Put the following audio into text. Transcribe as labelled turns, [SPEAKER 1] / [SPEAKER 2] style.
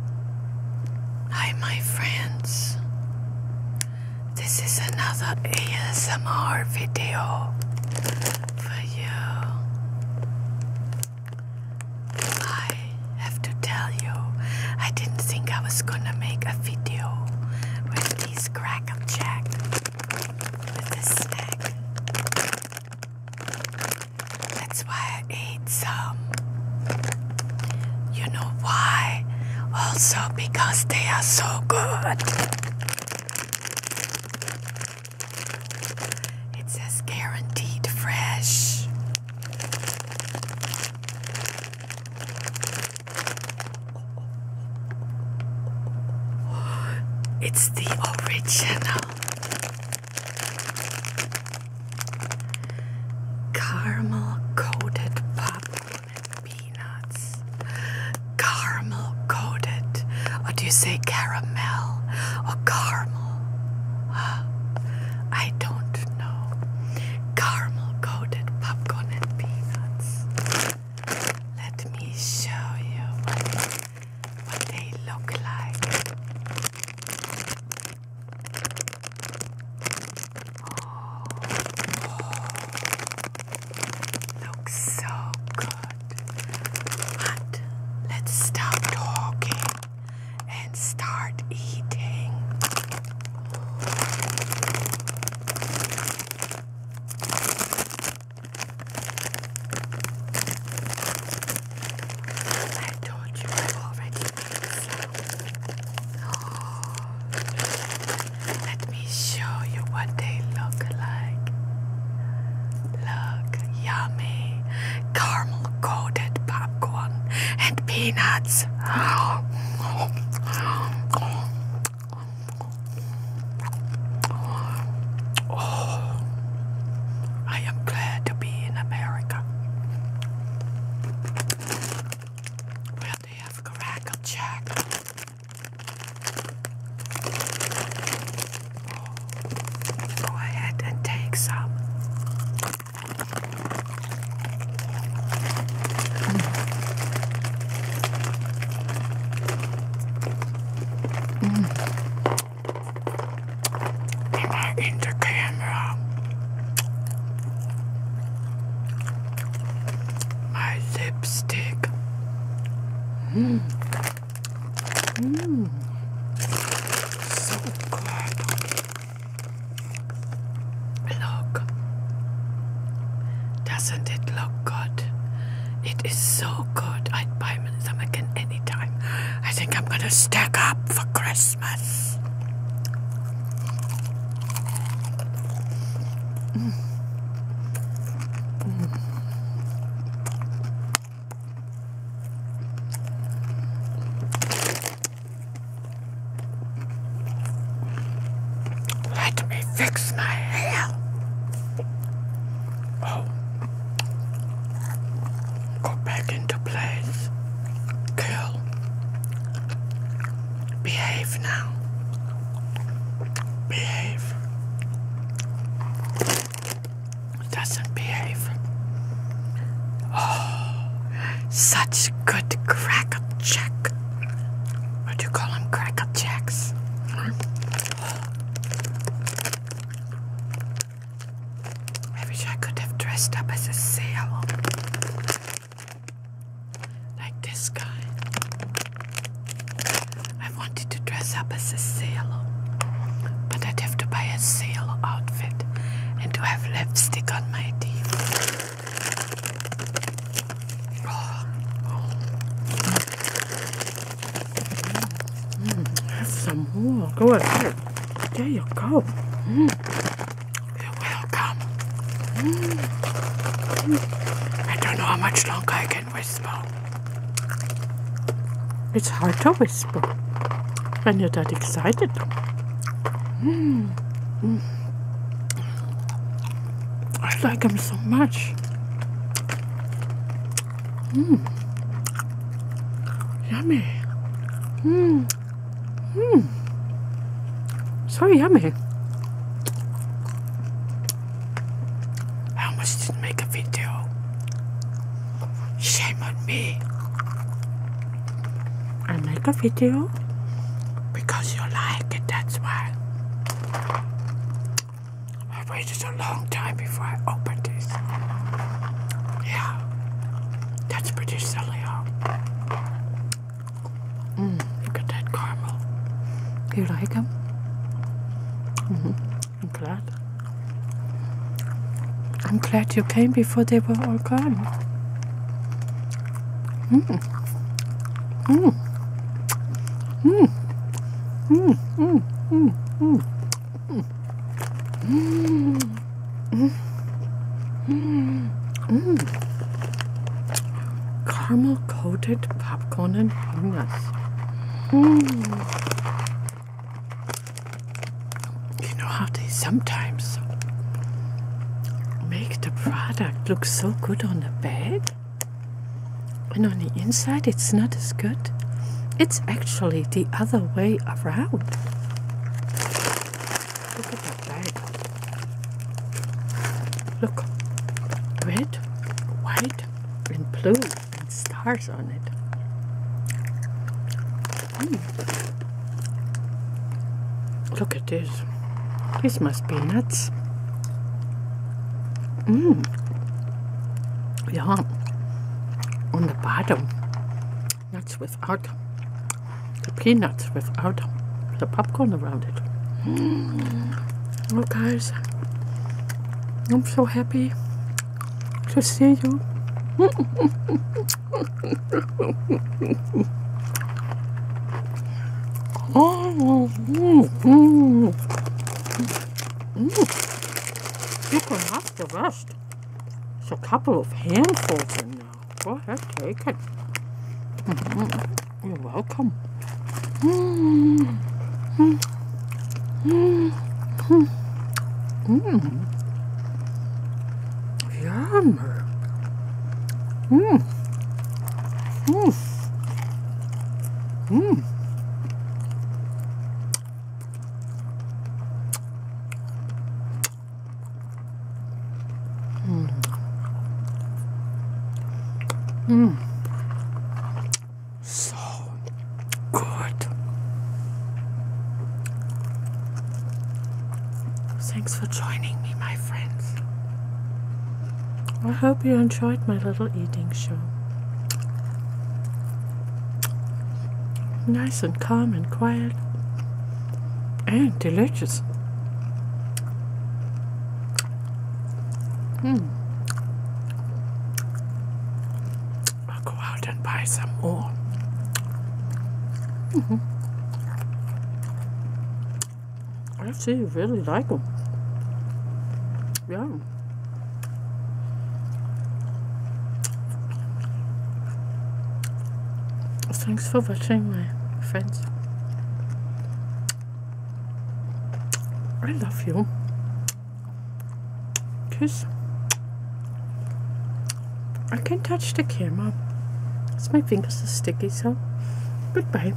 [SPEAKER 1] Hi, my friends. This is another ASMR video for you. I have to tell you, I didn't think I was gonna make a video with these crackle jack with this snack. That's why I ate some. You know why? Also because they are so good. It says guaranteed fresh. It's the original. Caramel coated popcorn and peanuts. Caramel coated. Or do you say caramel or caramel? I don't know. Caramel coated popcorn and peanuts. Let me show you what they look like. Oh. looks so good. But let's stop talking and start eating. I told you have already made some. Oh. Let me show you what they look like. Look, yummy caramel coated popcorn and peanuts. Oh, I am glad to be in America. Well, they have crackle check. Go ahead and take some. Mm. Am I My lipstick.
[SPEAKER 2] Mm. Mm. So good.
[SPEAKER 1] Look. Doesn't it look good? It is so good. I'd buy Simon Summerkin anytime. I think I'm gonna stack up for Christmas. Let me fix my hair. Oh go back into place. Girl, behave now. Behave. Doesn't behave. Oh, such good crack up What do you call them? Crack up I wish I could have dressed up as a sailor. Like this guy. I wanted to dress up as a sailor. But I'd have to buy a sailor outfit and to have lipstick on my teeth. Oh.
[SPEAKER 2] Mm, some more. Go ahead. There you go. You're
[SPEAKER 1] welcome. I don't know how much longer I can whisper.
[SPEAKER 2] It's hard to whisper when you're that excited. I like him so much. Mmm. Yummy. Mmm. Mmm. So yummy.
[SPEAKER 1] I almost didn't make a video. Shame on me.
[SPEAKER 2] I make a video
[SPEAKER 1] because you like it, that's why. I waited a long time before I opened this. Yeah, that's pretty silly, huh? Mm, look at that caramel. You like them? Mm -hmm. I'm
[SPEAKER 2] glad. I'm glad you came before they were all gone. Mm. Mm. Mm. Mm. Mm. Mm. mm. mm. Caramel coated popcorn and peanuts. You know how they sometimes make the product look so good on the bag? And on the inside, it's not as good. It's actually the other way around. Look at that bag. Look, red, white, and blue, and stars on it. Hmm. Look at this. This must be nuts. Mmm. Yeah. On the bottom. Nuts without the peanuts without the popcorn around it. Mm. Oh guys. I'm so happy to see you. Oh, mm, mm, mm. You can have the rest. It's a couple of handfuls in there. Go ahead, take it. Mm-hmm. You're welcome. Mm-hmm. Mm-hmm. Mm -hmm. Mm -hmm. Mm. Yum. Mmm. Mmm. Mmm. Mm. So good. Thanks for joining me, my friends. I hope you enjoyed my little eating show. Nice and calm and quiet and delicious. Hmm. I'll go out and buy some more. Mm -hmm. I you really like them. Yeah. Thanks for watching, my friends. I love you. Kiss. I can't
[SPEAKER 1] touch the camera. It's my fingers are sticky, so
[SPEAKER 2] goodbye.